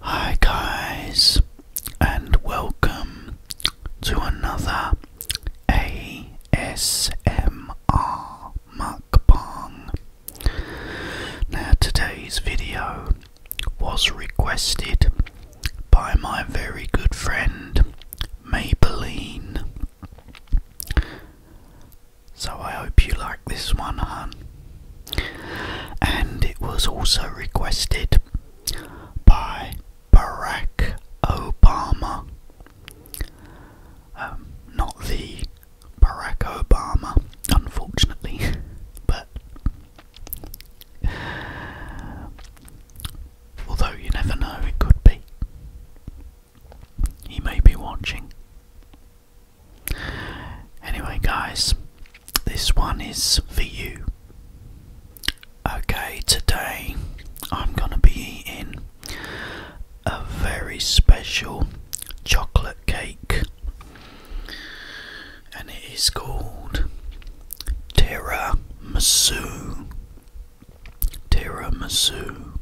Hi, guys, and welcome to another ASMR mukbang now, today's video was requested by my very good friend Maybelline. So, I hope you like this one, hun. And it was also requested by Barack Obama. Um, not the Barack Obama, unfortunately, but although you never know, it could be. He may be watching. Anyway, guys, this one is for you. Okay, today I'm gonna be eating a very special chocolate cake, and it is called tiramisu. Tiramisu.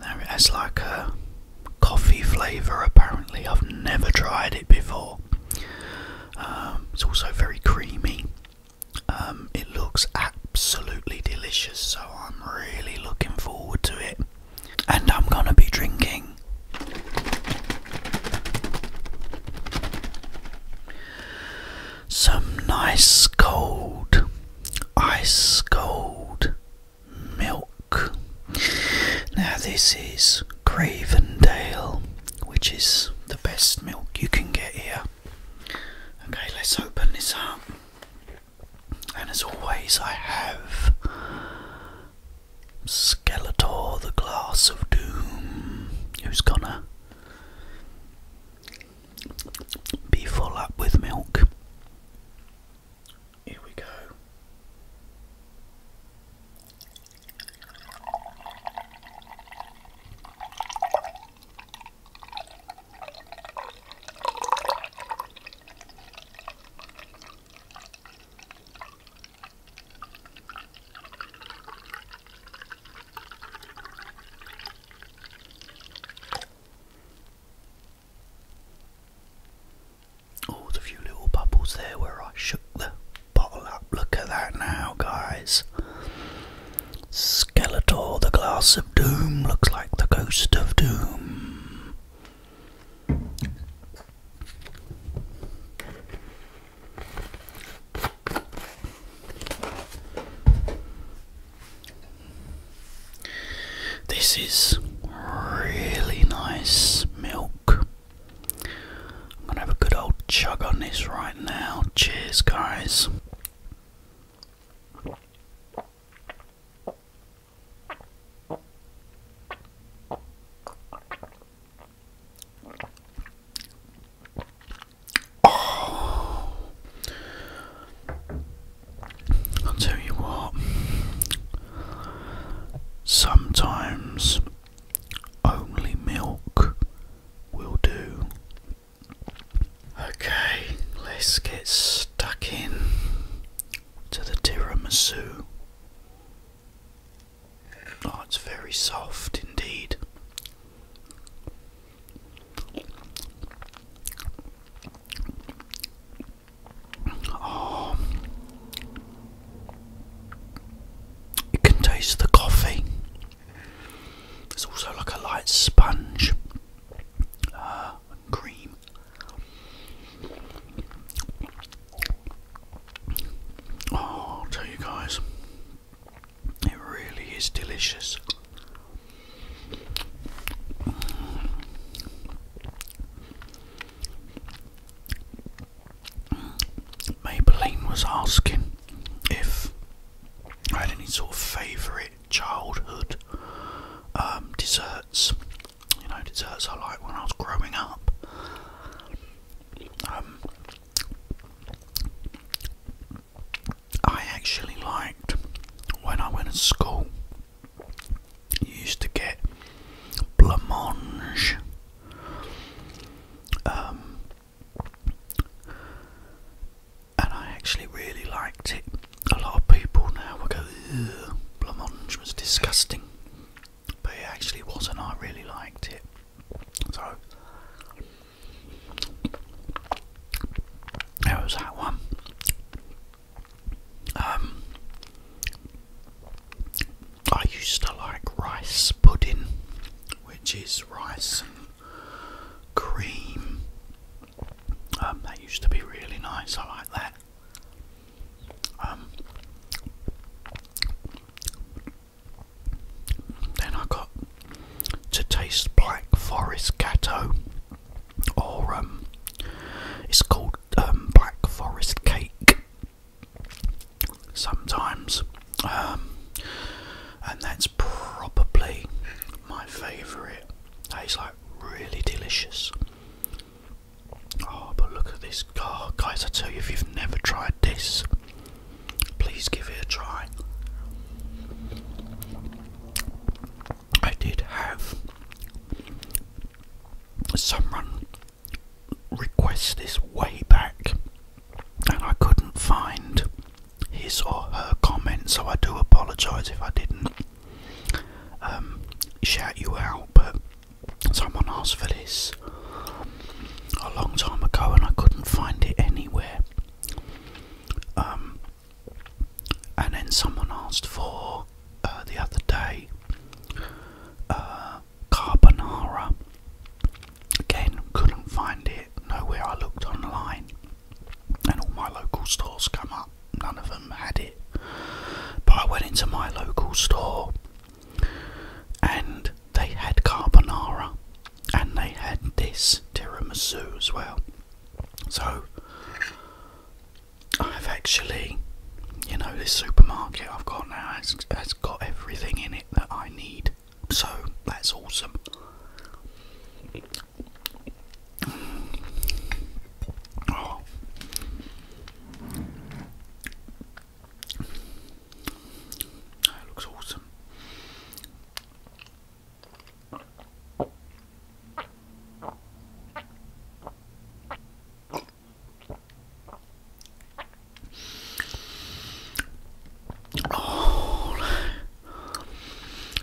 Now it has like a coffee flavour. Apparently, I've never tried it before. Um, it's also very creamy. Um, it looks absolutely delicious. I'm really looking forward to it. And I'm gonna be drinking some nice cold, ice cold milk. Now, this is Cravendale, which is the best milk you can get here. Okay, let's open this up. And as always, I have Skeletor, the Glass of Doom, who's gonna be full up with milk. Here we go. Oh, the few little bubbles there where I shook the bottle up. Look at that now, guys. Skeletor, the glass of doom, looks like the Ghost of Doom. This is really nice milk. I'm gonna have a good old chug on this right now. Cheers, guys. I'll tell you what, sometimes only milk will do. Okay, let's get stuck in to the tiramisu. Oh, it's very soft indeed. Oh, it can taste the coffee. It's also like a light sponge. Uh, cream. Oh, tell you guys, it really is delicious. Maybelline was asking if I had any sort of favourite childhood um, desserts. You know, desserts I liked when I was growing up. Um, I actually liked when I went to school. You used to get blancmange. Um, and I actually really liked it. A lot of people now will go, Ugh, blancmange was disgusting, but it actually wasn't. I really liked it. So there was that one. Um, I used to like rice pudding, which is rice and cream um, that used to be really nice, I like that. Um, then I got to taste Black Forest Gatto, or um, it's called Black Forest Cake sometimes, and that's probably my favourite. Tastes like really delicious. Oh, but look at this. Oh, guys, I tell you, if you've never tried this, please give it a try. I did have someone request this way back, and I couldn't find his or her comment, so I do apologise if I didn't um, shout you out. But someone asked for this a long time ago, and I couldn't find it anywhere. Um, and then someone asked for uh, the other day uh, carbonara. Again, couldn't find it nowhere. I looked online and all my local stores come up. None of them had it. But I went into my local store and they had carbonara and they had this tiramisu as well. So I've actually, you know, this supermarket I've got now has, has got everything in it that I need. So that's awesome. Oh. That looks awesome. Oh.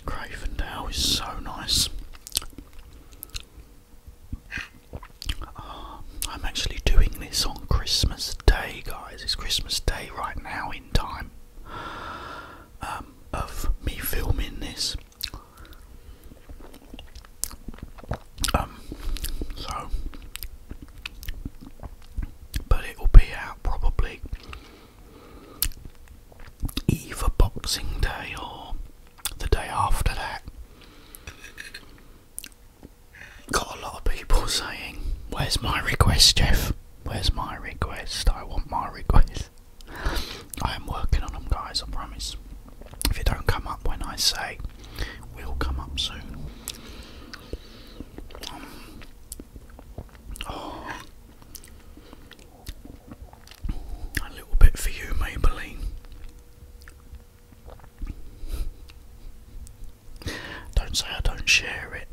Cravendale is so nice. Ah, I'm actually doing this on Christmas Day, guys. It's Christmas Day right now in time um, of me filming this. Um, so, but it will be out probably either Boxing Day or the day after that. Got a lot of people saying, Where's my request, Jeff? Where's my request? I want my request. I am working on them, guys, I promise. If it don't come up when I say, will come up soon. Um, oh. A little bit for you, Maybelline. Don't say I don't share it.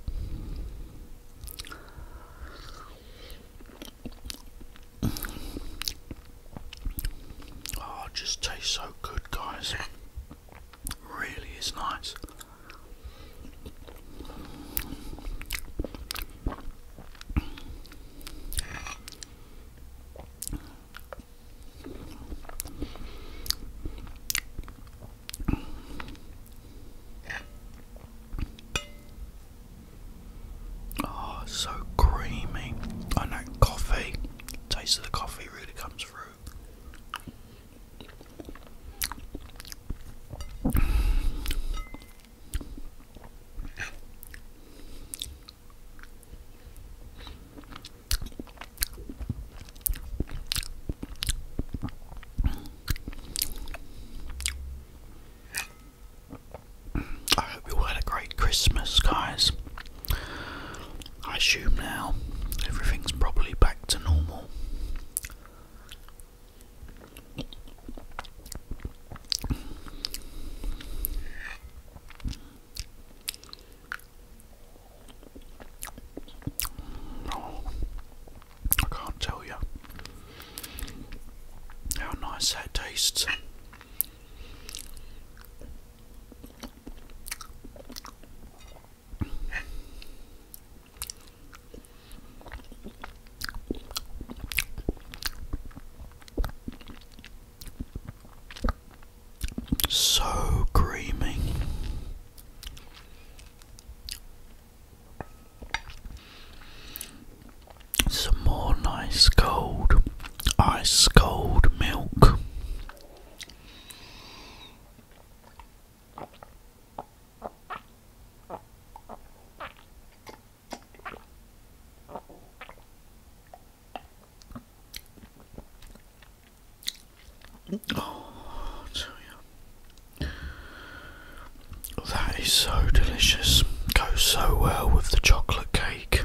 Oh, just tastes so good, guys. really is nice. Oh, so creamy. And that coffee, taste of the coffee really comes through. I hope you had a great Christmas, guys. I assume now everything's probably back to normal. I can't tell you how nice that tastes. So creamy. Some more nice cold, ice cold milk. Oh, that is so delicious. Goes so well with the chocolate cake.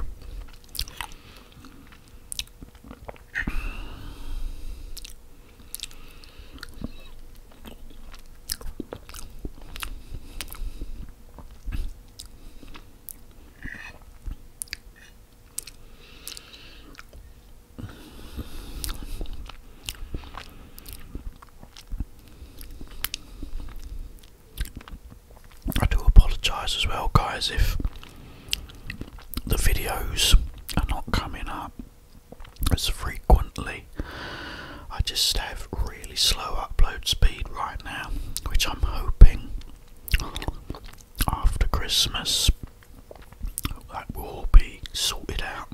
I do apologise as well, guys, if the videos are not coming up as frequently. I just have really slow upload speed right now, which I'm hoping after Christmas that will all be sorted out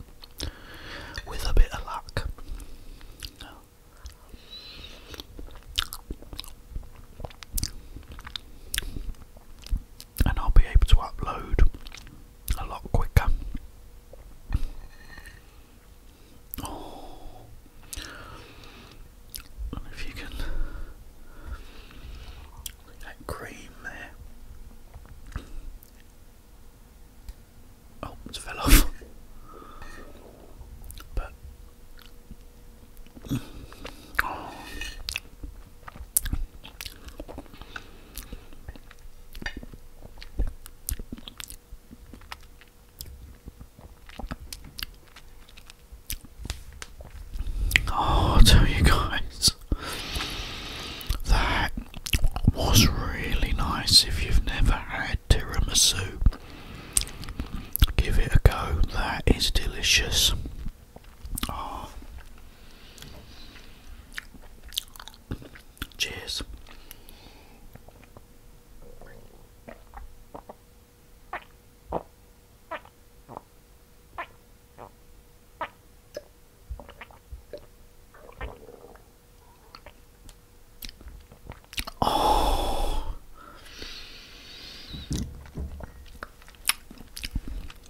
with a bit of luck. And I'll be able to upload a lot quicker. Oh, if you can, that cream there. Oh, it fell off. But I oh, tell you guys, that was really nice. If you've never had tiramisu, give it a go. That is delicious. Oh. Cheers. Oh.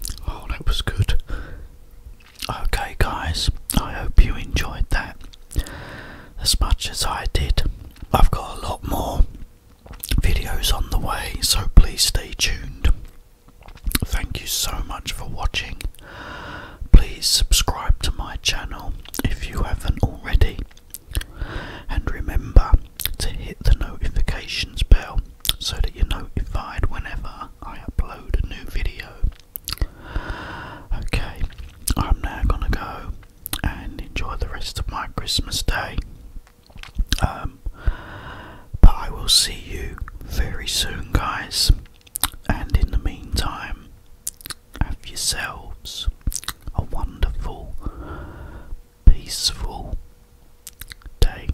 oh, that was good. Okay, guys, I hope you enjoyed that as much as I did. I've got a lot more videos on the way, so please stay tuned. Thank you so much for watching. Please subscribe to my channel if you haven't already, and remember to hit the notifications bell so that you're notified whenever I upload a new video. Okay, I'm now gonna go and enjoy the rest of my Christmas day. Um, but I will see you very soon, guys. And in the meantime, have yourselves a wonderful, peaceful day.